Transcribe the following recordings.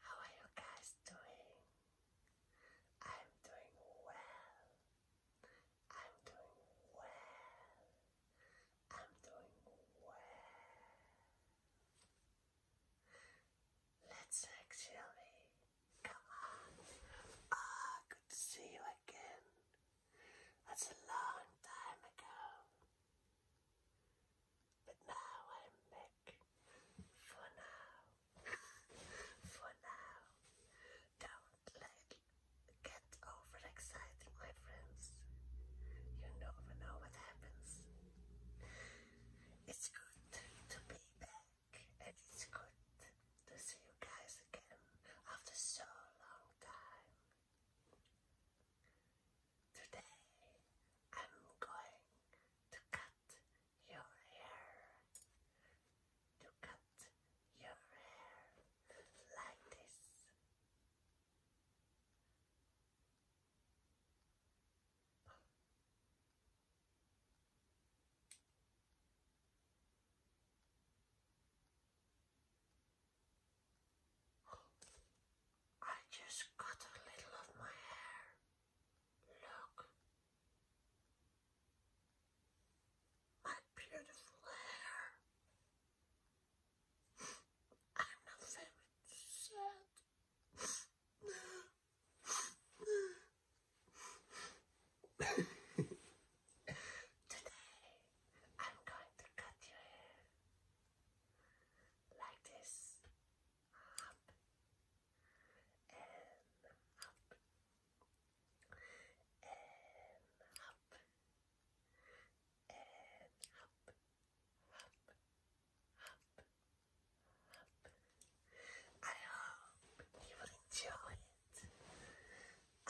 How are you guys doing? I'm doing well. I'm doing well. I'm doing well. Let's actually come on. Ah, good to see you again. That's a long time ago. But now I'm back. For now. For now. Don't get overexcited, my friends. You never know what happens. It's good to be back, and it's good to see you guys again after so long time. Today I'm going to cut your hair. To cut your hair like this. I just cut a little of my hair. Look. My beautiful hair. I'm not very sad. Today I'm going to cut your hair like this, up and up and up and up, up, up, up. I hope you will enjoy it.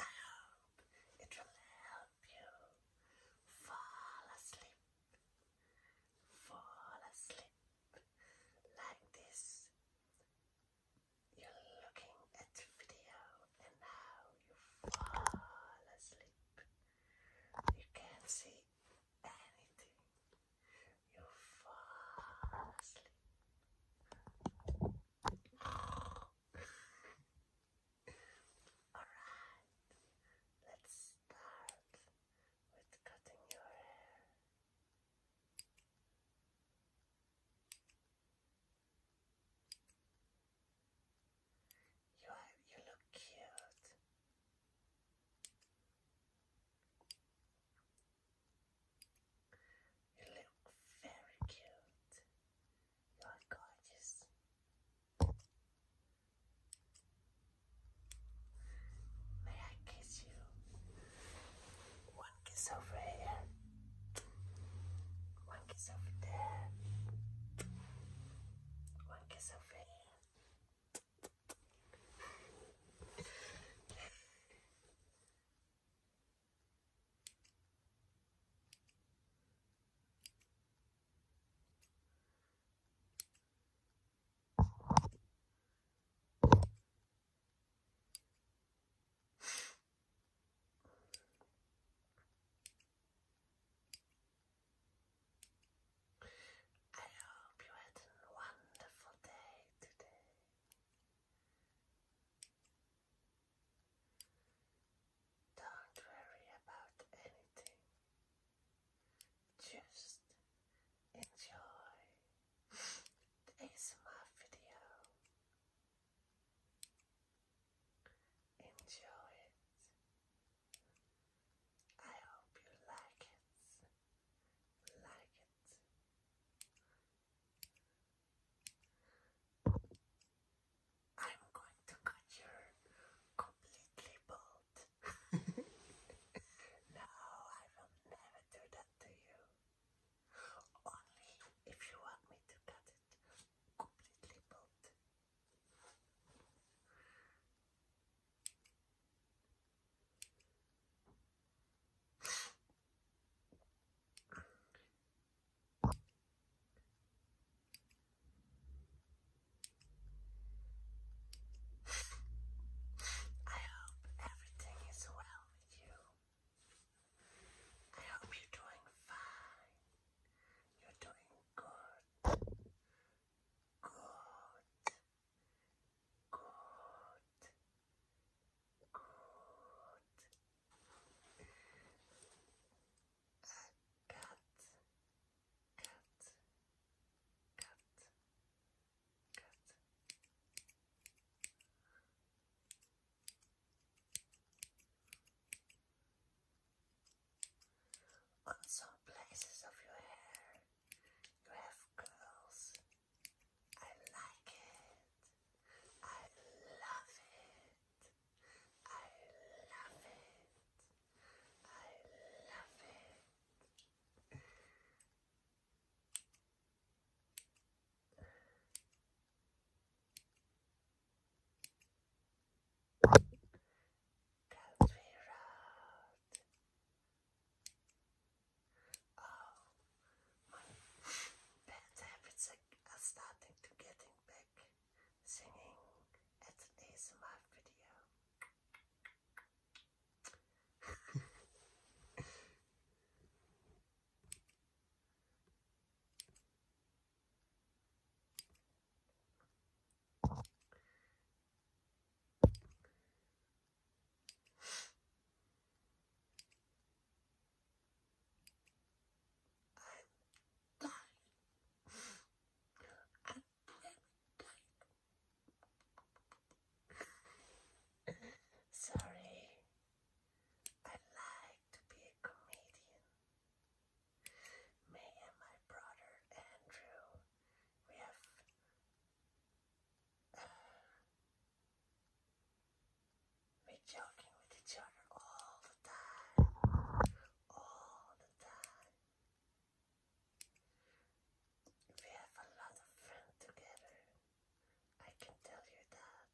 I hope it will help you fall asleep Fall asleep like this. You're looking at video and now you fall asleep. You can't see anything. You fall asleep. Alright, let's start with cutting your hair. You you look cute. You look very cute. You are gorgeous. May I kiss you? One kiss over here. One kiss over there. One kiss over here. I hope you had a wonderful day today. Don't worry about anything. Just enjoy the ASMR video. Enjoy it. I hope you like it. Like it. I'm going to cut your completely bald. no, I will never do that to you. Only if you want me to cut it completely bald. I hope everything is well with you. I hope you're doing fine. You're doing good. Good. Good. Good cut. On some places of your hair, you have curls. I like it. I love it. I love it. I love it. Country road. Oh, my bad habits are starting to getting back singing at an ASMR video. I'm dying. I'm dying. Sorry. I like to be a comedian. Me and my brother Andrew, we have uh, we're joking with each other all the time. All the time. We have a lot of fun together. I can tell you that.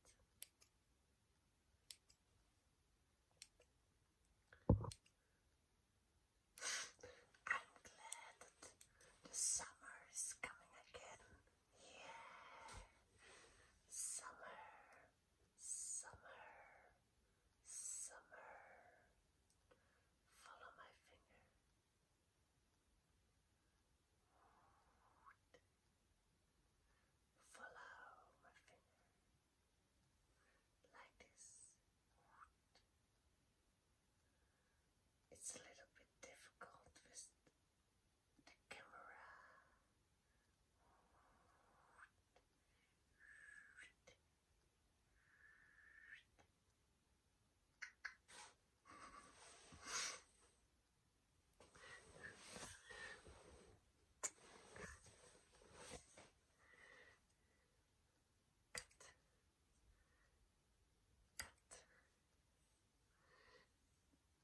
I'm glad that the summer is coming again yeah. Summer, summer, summer. Follow my finger. Follow my finger. Like this. It's a little bit difficult with the camera. Cut. Cut.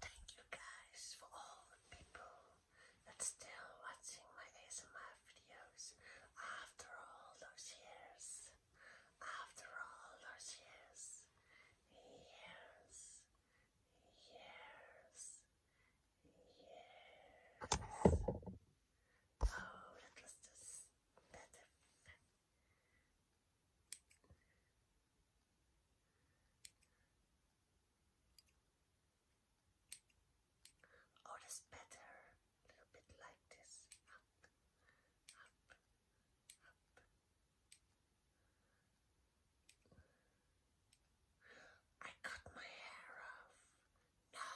Thank you guys for all the people that's still watching my ASMR videos after all those years. After all those years. Years. Years. Years. Oh, that that's a Oh, that's better. A little bit like this. I cut my hair off. No,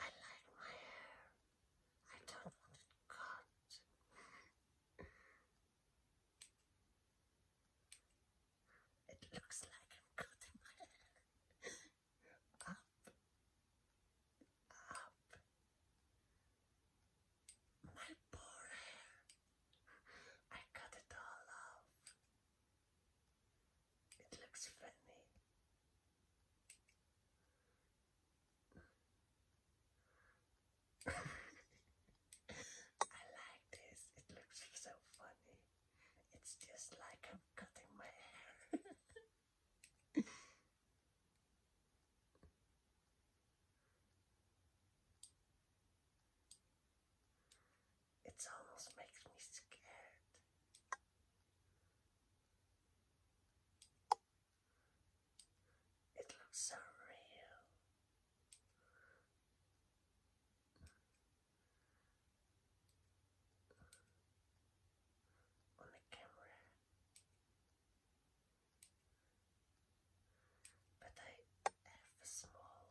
I like my hair. I don't want it cut. it looks like I'm cutting my hair. up, up. My poor hair. I cut it all off. It looks funny. I like this. It looks so funny. It's just like I'm cutting my hair. It almost makes me scared. It looks so real. On the camera, but I have small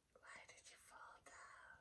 Why did you fall down?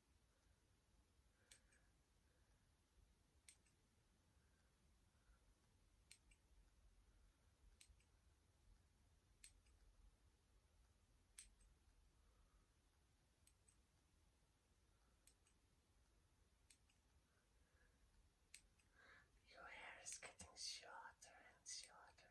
Your hair is getting shorter and shorter.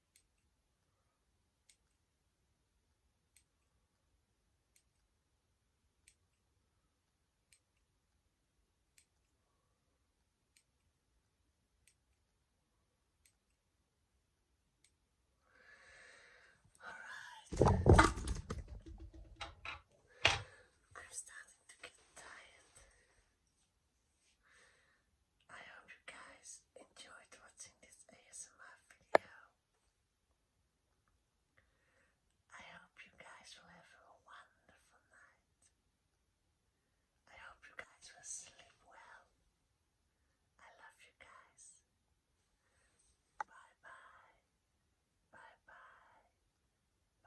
All right. I'm starting to get tired. I hope you guys enjoyed watching this ASMR video. I hope you guys will have a wonderful night. I hope you guys will sleep well. I love you guys. Bye bye. Bye bye.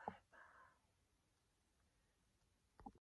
Bye bye.